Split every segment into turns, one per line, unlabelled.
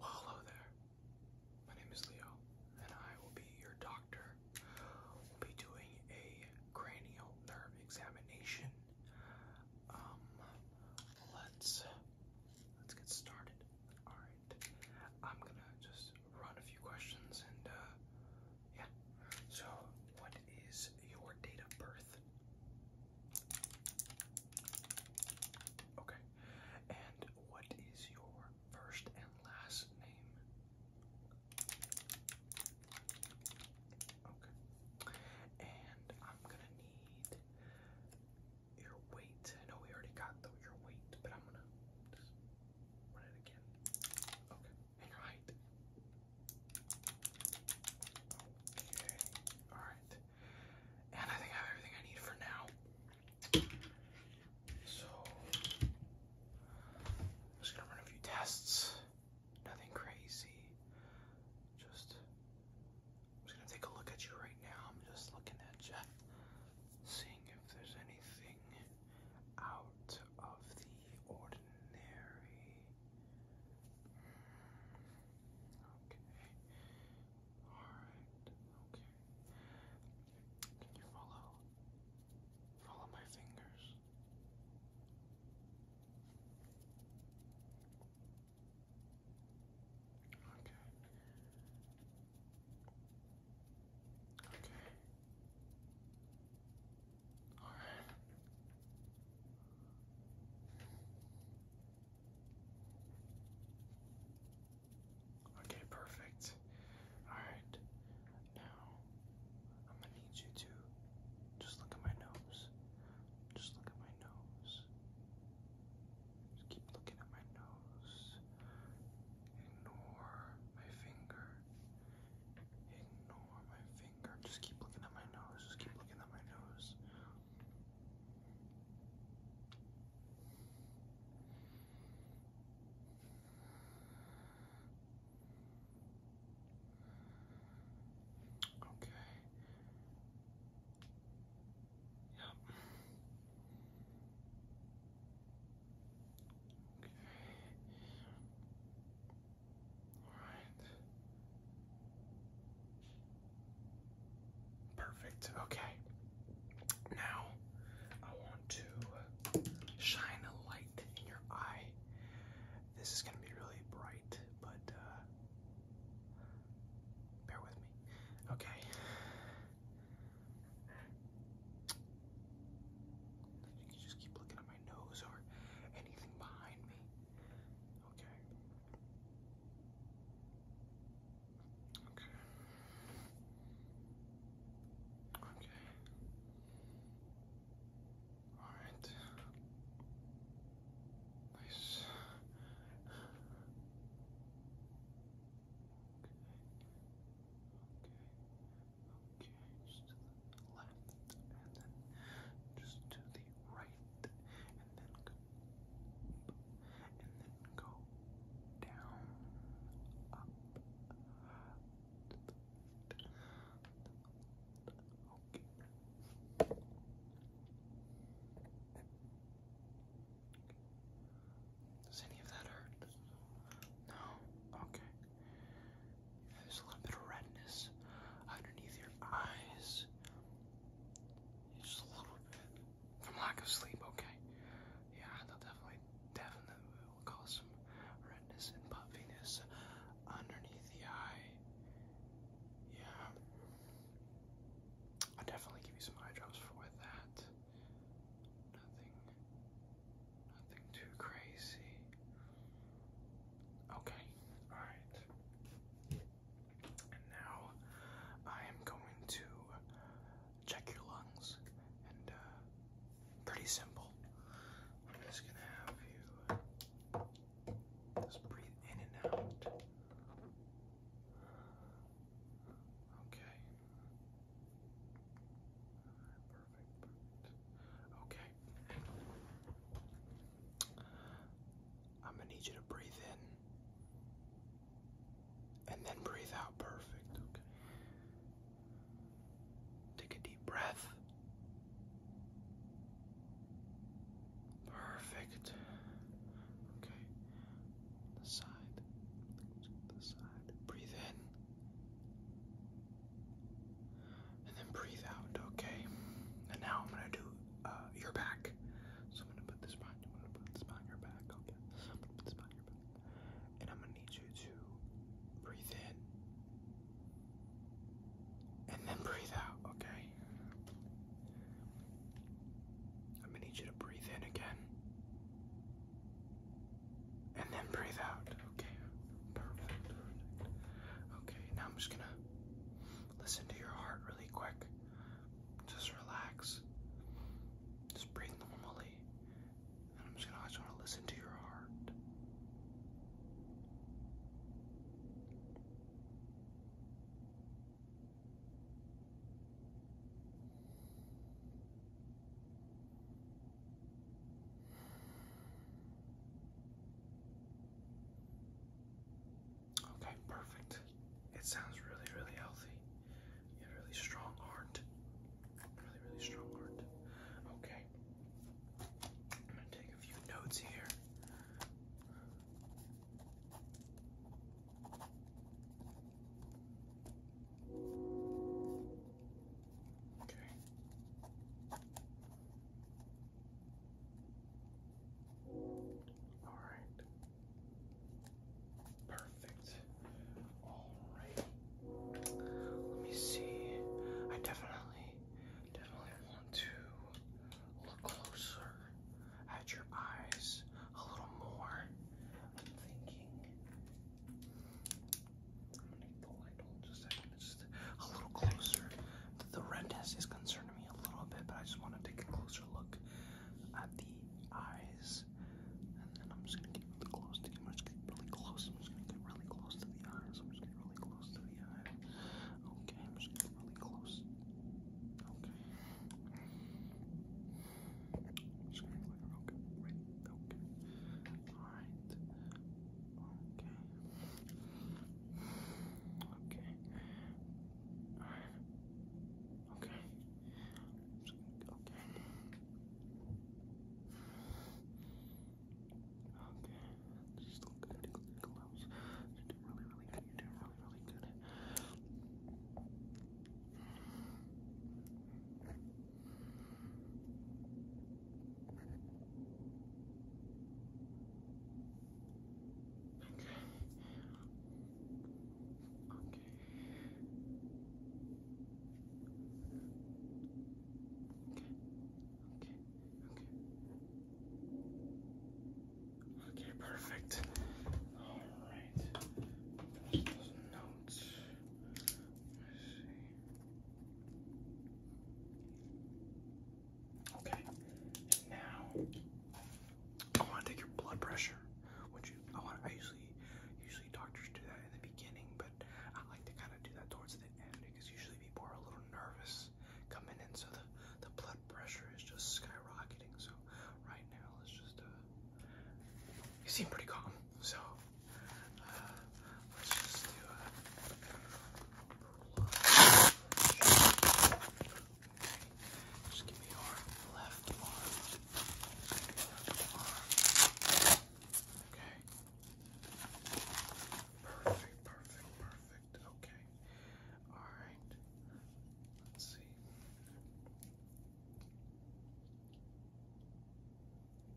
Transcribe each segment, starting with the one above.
hello there. My name is Leo, and I will be your doctor. We'll be doing a cranial nerve examination. Um, let's let's get started. All right, I'm gonna just run a few questions, and uh, yeah. So, what is your date of birth? Okay. And what is your first and last name? Okay. And I'm gonna need your weight. I know we already got though your weight, but I'm gonna just run it again. Okay. All right. Okay. All right. And I think I have everything I need for now. So I'm just gonna run a few tests. Nothing crazy. Just I'm just gonna take a look at you right now. I'm just looking at you, seeing if there's anything out of the ordinary. Okay. Alright. Okay. Can you follow? Follow my fingers. Okay. Okay. Okay, perfect. Alright, now I'm gonna need you to just look at my nose. Just look at my nose. keep looking at my nose. Ignore my finger. Ignore my finger. Just keep looking at my nose. Just keep looking at my nose. Okay. Yep. Okay. Perfect. Okay. Now I want to shine a light in your eye. This is going to be really bright, but uh, bear with me. Okay. You can just keep looking at my my nose or anything behind me. Okay. Okay. Okay. All right. Nice. Okay. Okay. Okay, just to the left, and then just to the right, and then and then go down, up, okay. Does any of that hurt? No? Okay. There's a little bit of redness underneath your eyes. Just a little bit from lack of sleep, okay? Yeah, that'll definitely, definitely will cause some redness and puffiness underneath the eye. Yeah. I'll definitely give you some eye drops for that. Nothing Nothing too crazy. Okay, alright. And now I am going to check your lungs and uh, pretty simple. I'm just gonna have you just breathe in and out. Okay perfect, Okay. I'm gonna need you to breathe in and then breathe out. Perfect. Okay. Take a deep breath. Perfect. Okay. The side. The side. Breathe in. And then breathe out, okay? And now I'm gonna do uh, your back. So I'm gonna put this spine. I'm gonna put this behind your back, okay? I'm going your back. And I'm gonna need you to breathe in. And then breathe out, okay? I'm gonna need you to breathe in again and then breathe out. Okay, perfect. Okay, now I'm just gonna listen to your heart really quick. Just relax. Just breathe normally. And I'm just gonna listen to your heart. Okay, perfect. It sounds really, really healthy. You have a really strong heart. Really, really strong heart. Okay. I'm gonna take a few notes here. Okay. All right. Perfect. All right. Let me see. I definitely, definitely want to look closer at your eyes a little more. I'm thinking I'm gonna get the light on just a second. It's just a little closer. The red test is concerning me a little bit, but I just want to take a closer look at the eyes. And then I'm just gonna get really close to the I'm just gonna get really close. I'm just gonna get really close to the eyes. I'm just gonna get really close to the eyes. Okay, I'm just gonna get really close. Okay. I'm just gonna get like okay, right, okay. Alright. Okay. Okay. Alright. Okay. Okay. Okay. Just look at it close. You're doing really, really good. You're doing really, really good. Okay. Okay, perfect. All right. Those notes. Let me see. Okay, and now I want to take your blood pressure. Would you? I want. I usually, usually doctors do that in the beginning, but I like to kind of do that towards the end because usually people are a little nervous coming in, so the the blood pressure is just skyrocketing. So right now, let's just. Uh, you seem pretty calm, so let's just do a Just give me your Left arm. Okay. Perfect, perfect, perfect. Okay. Alright. Let's see.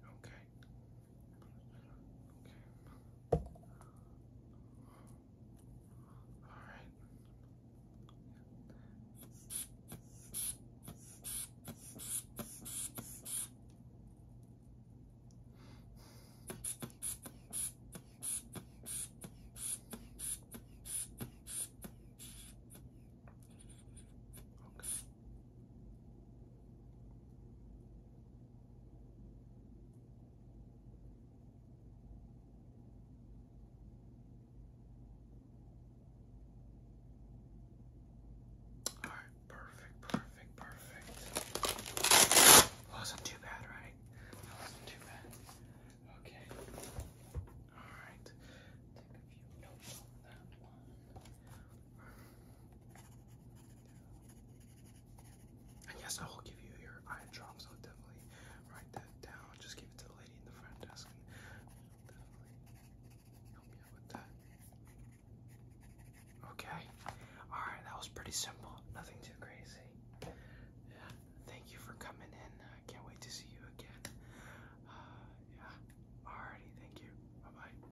Okay. Okay. All right. Okay. All right, perfect, perfect, perfect. Wasn't too bad, right? That wasn't too bad. Okay. All right. Take a few notes on that one. And yes, I will give you your eye drops. I'll definitely write that down. Just give it to the lady in the front desk, and she'll definitely help you out with that. Okay. All right, that was pretty simple. Nothing too crazy. Yeah. Thank you for coming in. I can't wait to see you again. Uh, yeah. Alrighty. Thank you. Bye bye.